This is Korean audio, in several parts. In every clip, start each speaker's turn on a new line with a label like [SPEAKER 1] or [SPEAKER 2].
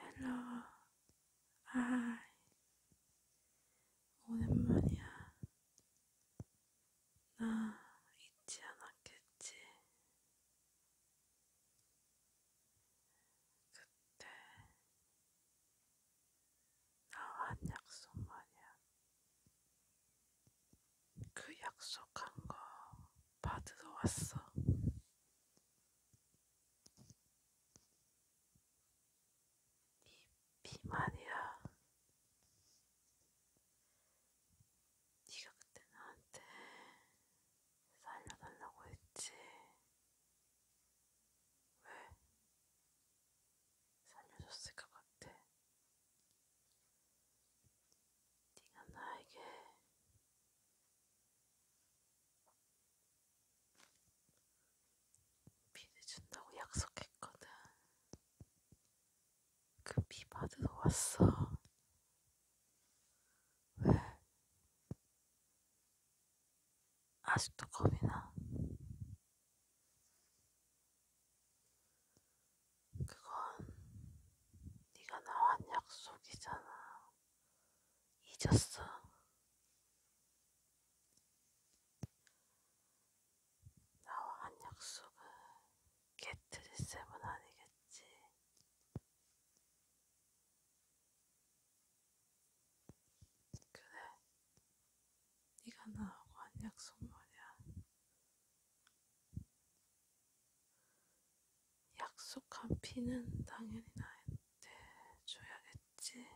[SPEAKER 1] 헬로 아 오랜만이야 나 잊지 않았겠지 그때 나와 한 약속 말이야 그 약속한 거 받으러 왔어. 이 비만이야. 네가 그때 나한테 살려달라고 했지. 왜? 살려줬을 것 같아. 네가 나에게 비를 준다고 약속했거든. 그 비 받으러 왔어. 왜? 아직도 겁이 나? 그건 네가 나와 한 약속이잖아. 잊었어? 나와 한 약속은 깨트릴 셈은 아니겠지. 그래, 네가 나하고 한 약속 말이야. 약속한 피는 당연히 나한테 줘야겠지.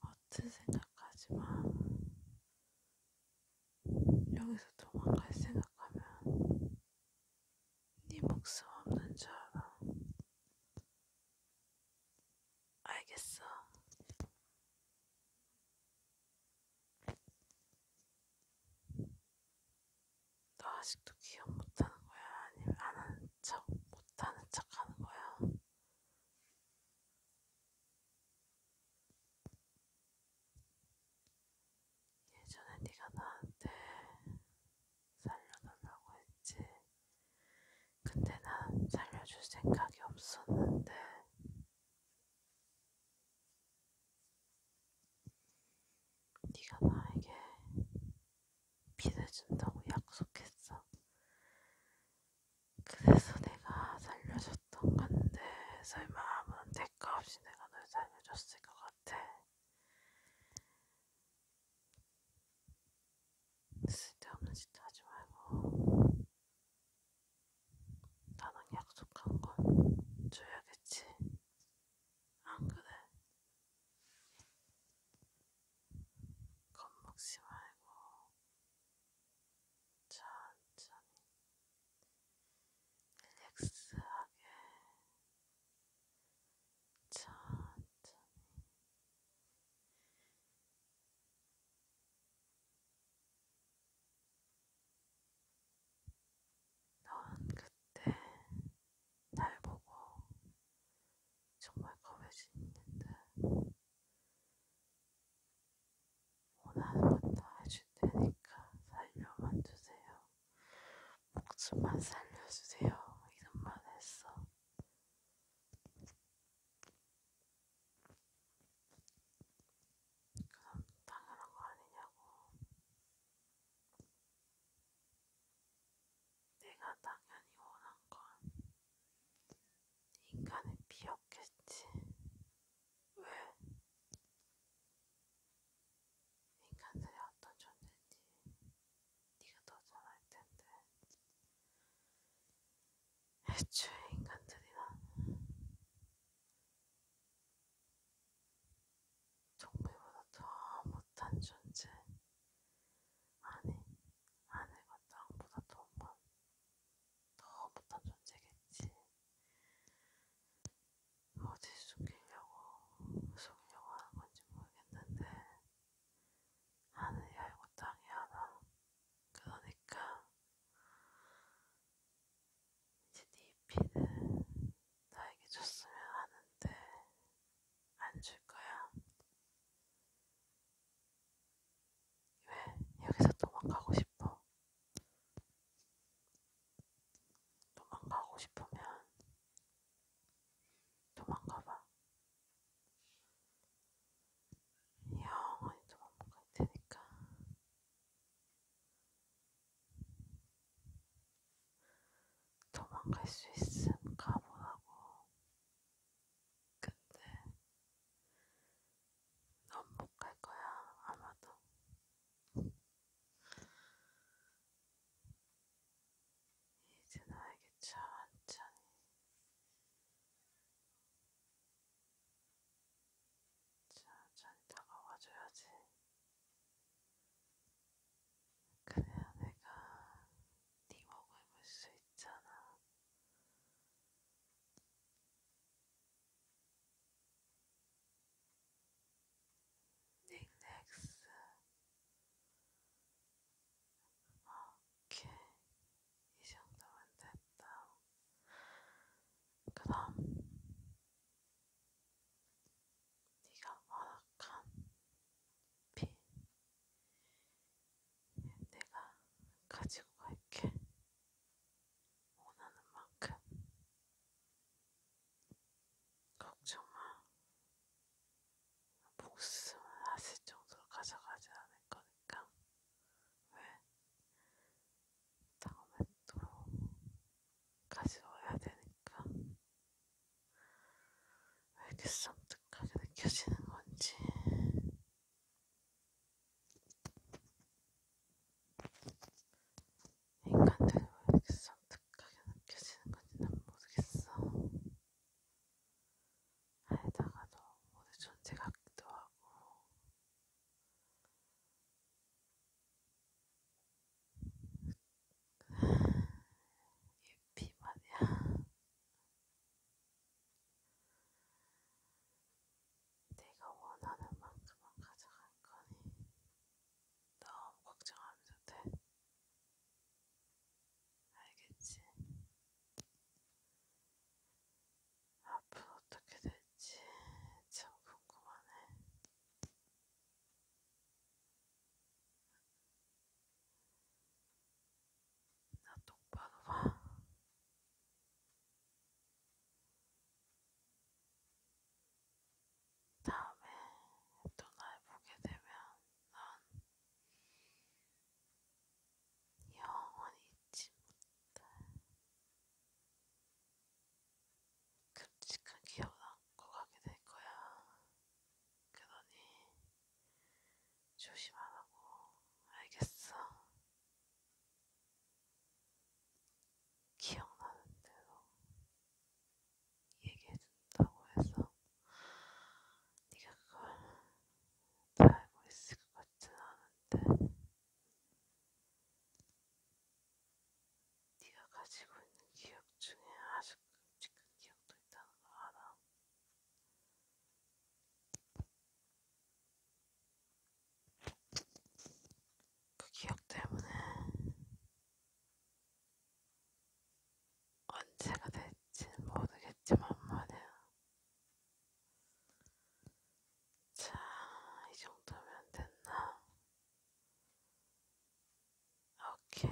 [SPEAKER 1] 어떤 생각하지 마. 여기서 도망갈 생각하면 네 목숨 없는 줄 알아. 알겠어. 너 아직도 기억 못하는 거야? 아니면 안 하는 척, 못하는 척 하는 거야? 예전에 네가 나한테 살려달라고 했지. 근데 난 살려줄 생각이 없었는데 네가 나에게 피를 준다고 약속했어. 그래서 내가 살려줬던 건데 설마 아무런 대가 없이 내가 널 살려줬을 것 같아. 쓸데없는 짓 하지 말고 나랑 약속한 건 줘야겠지 안 그래? 겁먹지 말고 천천히 릴렉스하게 천천히 넌 그때 날 보고 정말 겁여지는데 원하는 것도 해줄 테니까 살려만 주세요. 목숨만 살려주세요. 이런 말 했어. 그럼 당연한 거 아니냐고. 내가 당연히 원한 건 인간의 피였겠지. 왜? 인간들이 어떤 존재인지 네가 더 잘 알 텐데. 애초에 인간들이란 동물보다 더 못한 존재 아니 하늘과 뭐 땅보다 더, 못, 뭐, 더 못한 존재겠지 뭐 어디 숨기려고 속이려고 하는 건지 모르겠는데 하늘이 알고 땅이 알아. 그러니까 이제 네 피를 나에게 줬으면 하는데 안 줄 거야. 왜 여기서 도망가고 싶어? 도망가고 싶으면 도망가봐. 영원히 좀 없는 것 같으니까 도망갈 수 있음 가보라고 근데 넌 못 갈 거야 아마도 이제 나에게 천천히 천천히 다가와줘야지. 그래야 내가 네 목을 물수 있잖아. 닉넥스. 어, 이렇게 이 정도면 됐다. 그럼 네가 완악한 핀 내가 가지고 갈게. 원하는 만큼 걱정 마. 복수를 하실 정도로 가져가지 않을 거니까. 왜 다음에 또 가지 와야 되니까 왜 이렇게 섬뜩하게 느껴지는 건지. 인간들이 왜 이렇게 섬뜩하게 느껴지는 건지 난 모르겠어. 알다가도 모두 존재 같기도 하고 예피 마냥 내가 원하는 만큼만 가져갈 거니 너무 걱정 안 해도 돼. 알겠지? 앞은 어떻게 될지 참 궁금하네. 나 똑바로 봐. 다음에 또 날 보게 되면 난 영원히 잊지 못할 끔찍한 기억을 안고 가게 될 거야. 그러니 조심하라고 알겠어. 기억나는 대로 얘기해준다고 해서 네가 그걸 다 알고 있을 것 싶진 네. 않은데 네가 가지고 있는 기억 중에 아주 끔찍한 기억도 있다는 걸 알아. 그 기억 때문에 언제가 될지 모르겠지만 말이야. 자, 이 정도면 됐나? 오케이.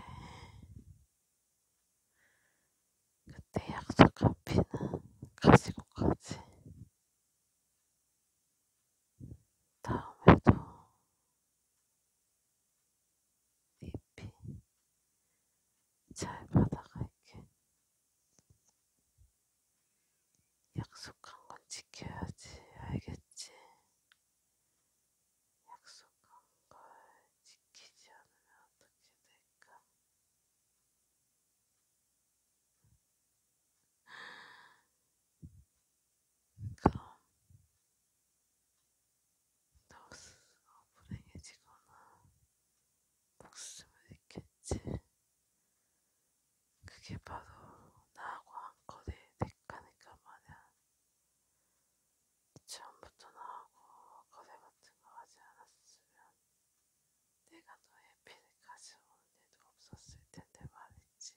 [SPEAKER 1] 그때 약속 카피는 가지고 가지. 다음에도 잎이 잘 받아갈게. 약속한 건 지켜야지, 알겠지? 약속한 걸 지키지 않으면 어떻게 될까? 그럼 너 스스로 불행해지거나 목숨을 잃겠지. 했지. 그게 바로 나하고 한거리 대가니까 말이야. 처음부터 나하고 거래 같은 거 하지 않았으면 내가 너의 피를 가져오는 일도 없었을 텐데 말이지.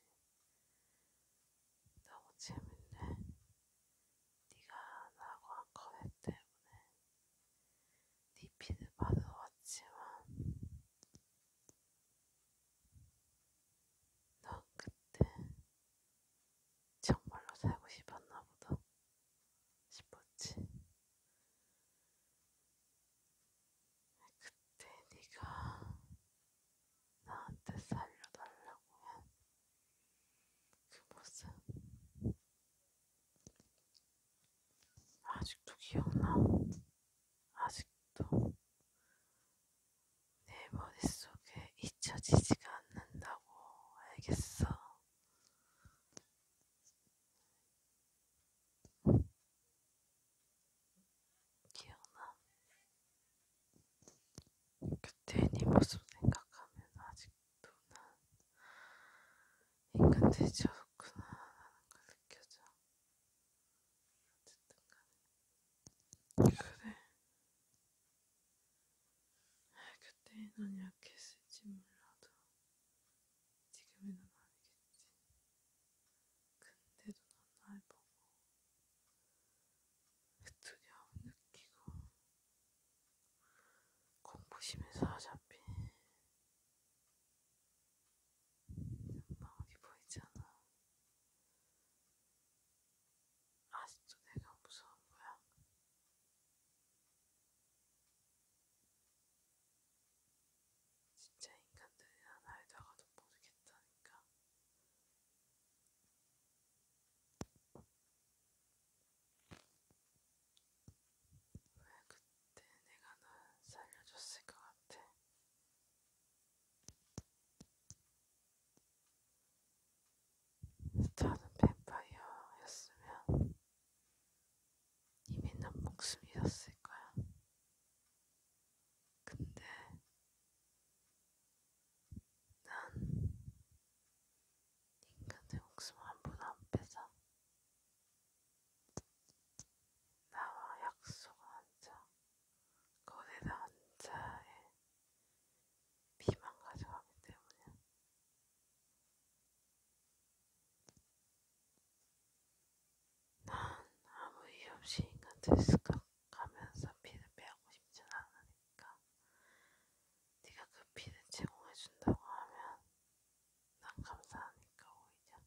[SPEAKER 1] 너무 재밌네. 네가 나하고 한 거래 때문에 DP를 받으러 왔지만 넌 그때 정말로 살고 싶었나 보다 싶었지. 그때 네가 나한테 살려달라고 한 그 모습 아직도 기억나. 아직도 내 머릿속에 잊혀지지가 않는다고 알겠어. 기억나. 그때 네 모습 생각하면 아직도 난 인간 돼지 없구나 하는 걸 느껴져. 어쨌든 간에. 그래. 아, 그때 넌 약했을지 몰라도 지금의 넌 아니겠지. 근데도 넌날 보고 그 두려움 느끼고 공부심에서 어차피 방울이 보이잖아. 아직도 내가 무서운 거야? 진짜 인간들이란 알다가도 모르겠다니까. 왜 그때 내가 널 살려줬을 것 같아? 나는 뱀파이어였으면 이미 난 목숨이었을 거야. 근데 난 인간의 목숨 한번안 빼서 나와 약속을 한자 거대한 한자에 비만 가져가기 때문에 난 아무 이유 없이 인간들 습각하면서 피를 빼고 싶진 않으니까 네가 그 피를 제공해준다고 하면 난 감사하니까 오히려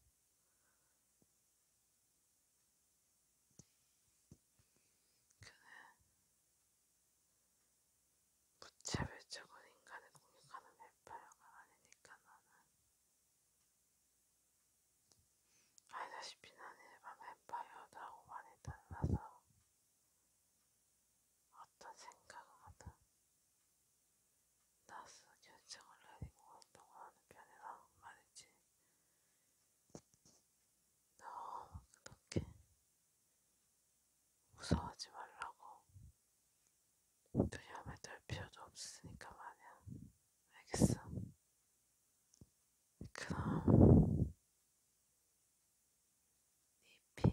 [SPEAKER 1] 그는 무차별적으로 인간을 공격하는 뱀파이어가 아니니까 나는 알다시피 나는 일반 뱀파이어라고 많이 달라서 어떤 생각을 하든 나스 결정을 내리고 운동하는 편이라 말이지. 너 그렇게 무서워하지 말라고. 두려움에 떨 필요도 없으니까 말이야. 알겠어? 그럼 네 피,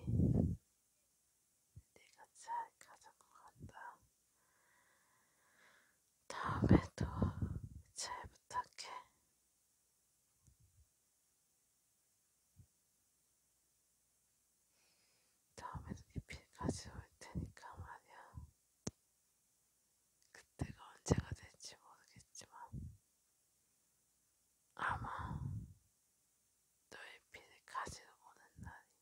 [SPEAKER 1] 내가 잘 가자고 한다. 다음에도 잘 부탁해. 다음에도 이필까지 올 테니까 말이야. 그때가 언제가 될지 모르겠지만 아마 너의 피를 가지러 오는 날이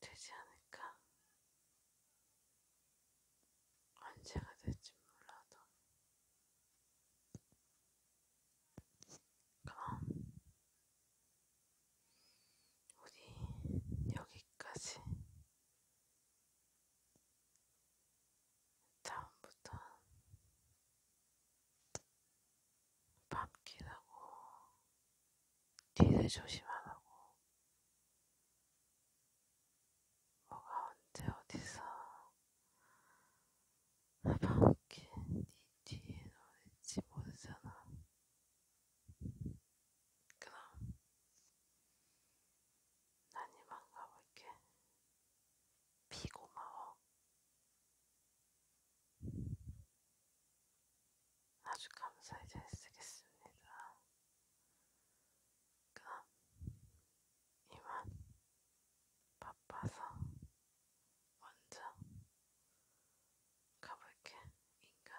[SPEAKER 1] 되지 않을까? 언제가 될지 몰라도. 그럼, 우리 여기까지. 다음부터 밤길하고 뒤를 조심하라고. 뭐가 언제 어디서 나방울게 네 뒤에 놓을지 모르잖아. 그럼 난 이만 가볼게. 비 고마워. 아주 감사히 잘 쓰겠습니다. 그럼 이만 바빠서 먼저 가볼게, 인간.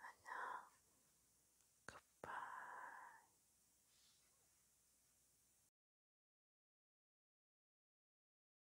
[SPEAKER 1] 안녕, 굿바이.